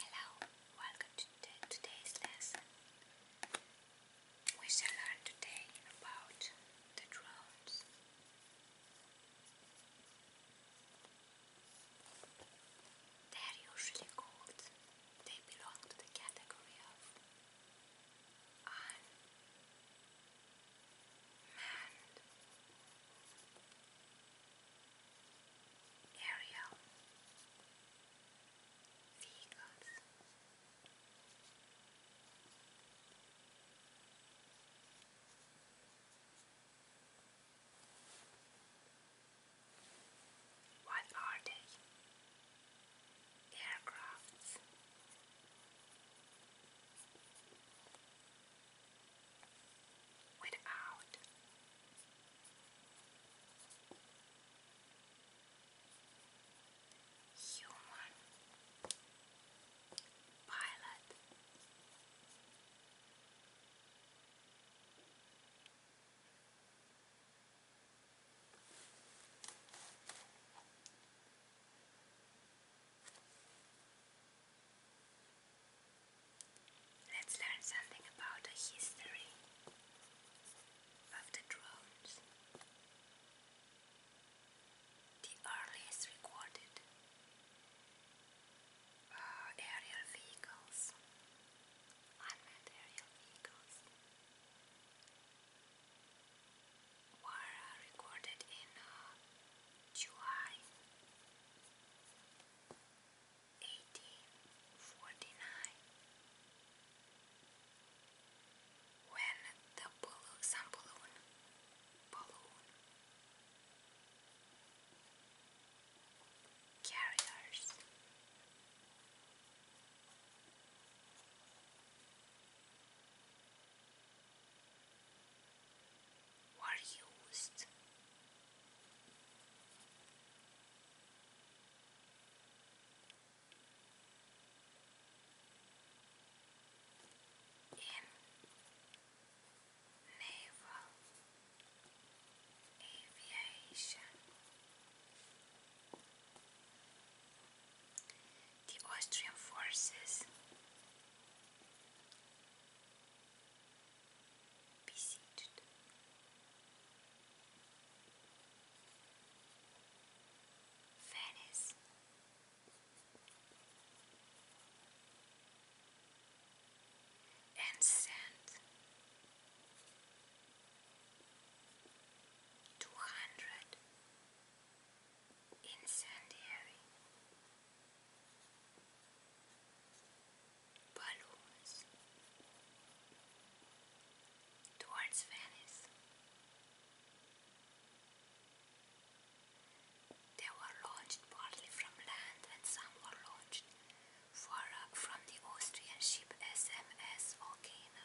Hello, welcome to today's lesson. We shall learn today about the drones. They are usually called, they belong to the category of unmanned aerial vehicles. What are they? Aircrafts without human pilot. Let's learn something about the history of the drones. The earliest recorded uh, aerial vehicles, unmanned aerial vehicles, were uh, recorded in July uh, 1849. When the balloon, balloon carriers were used. In naval aviation, the Austrian forces be seated. Venice. And send two hundred incendiary balloons towards Venice. They were launched partly from land and some were launched uh, from the Austrian ship SMS Volcano.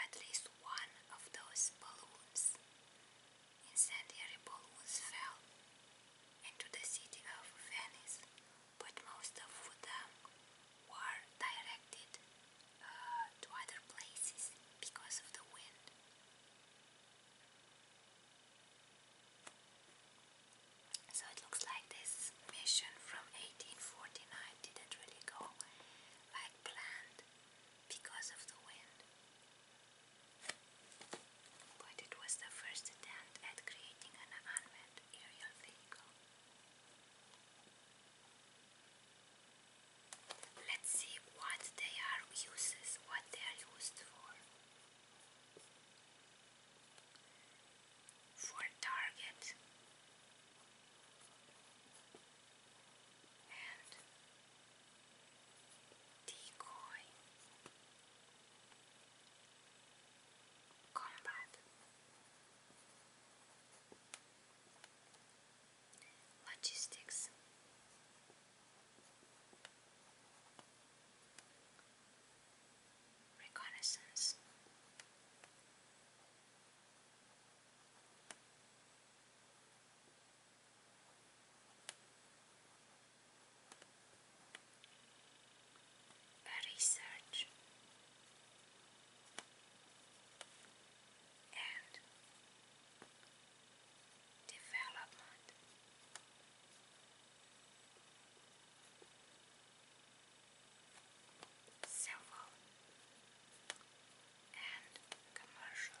At least one of those balloons Incendiary was felt into the city of Venice, but most of them were directed uh, to other places because of the wind. So it looks like this mission from 1849 didn't really go like planned because of the wind but it was the first attempt at creating an unmanned aerial vehicle. Let's see what they are uses, what they are used for. For target and Decoy Combat Logistics Reconnaissance research and development. Civil and commercial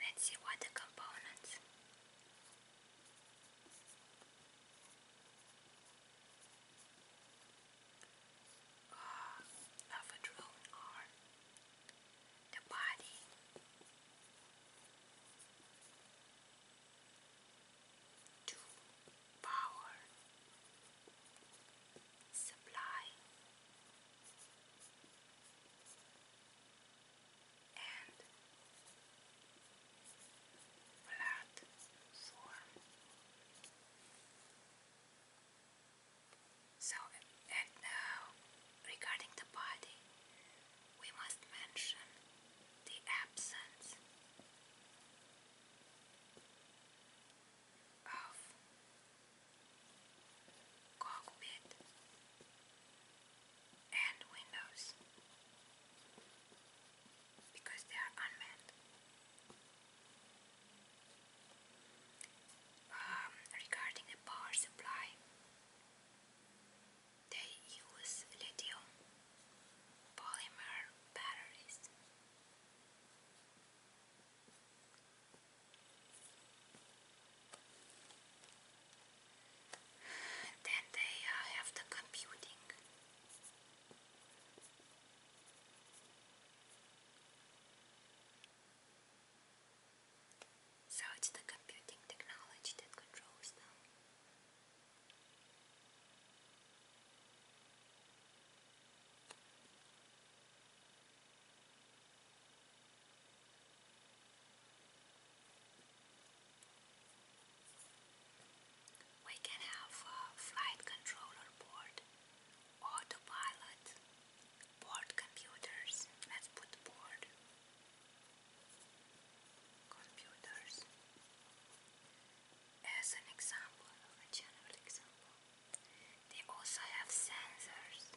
Let's see what the components. Ah, of a drone are the body, to power supply and platform. So, and now uh, regarding the body, we must mention the absence of cockpit and windows because they are unmanned. Um, regarding the power supply, they use lithium polymer batteries and then they uh, have the computing. So it's the computing technology that controls them. We can have uh, flight controller board, autopilot, board computers. Let's put board computers as an example of a general example. They also have sensors.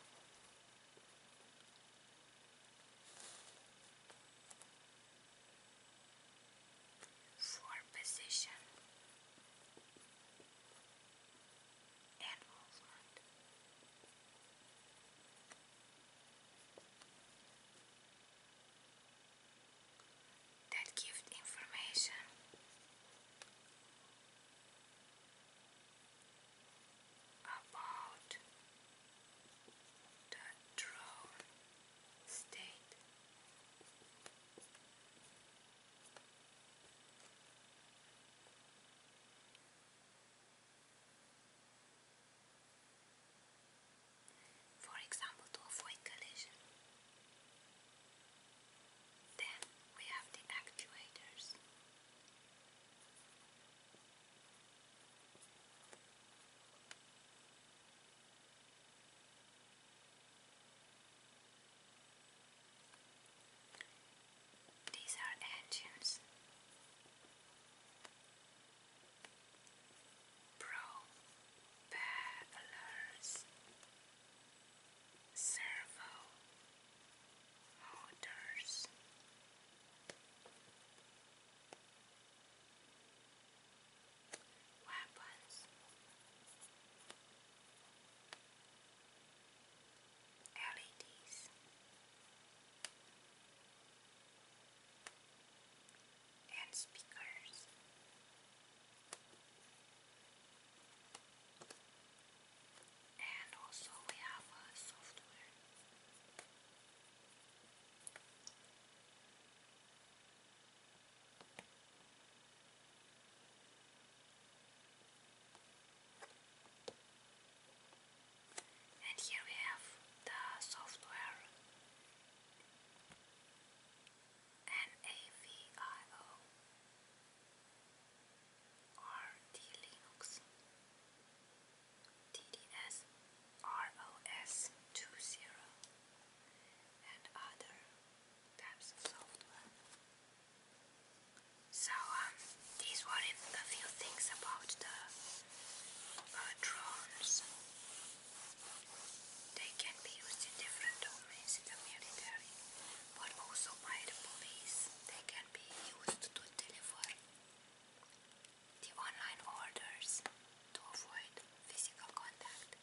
For position and that gives information about the drone state for example to avoid collision. Then we have the actuators. These are engines propellers, servo motors. Weapons LEDs and speakers. And also we have software. And here we have the software NAVIO RT Linux DDS 20 and other types of software. So um, these were a few things about the uh, drones. They can be used in different domains in the military, but also by the police. They can be used to deliver the online orders to avoid physical contact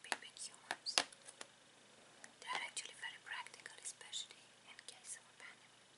between humans. They are actually very practical, especially in case of pandemic.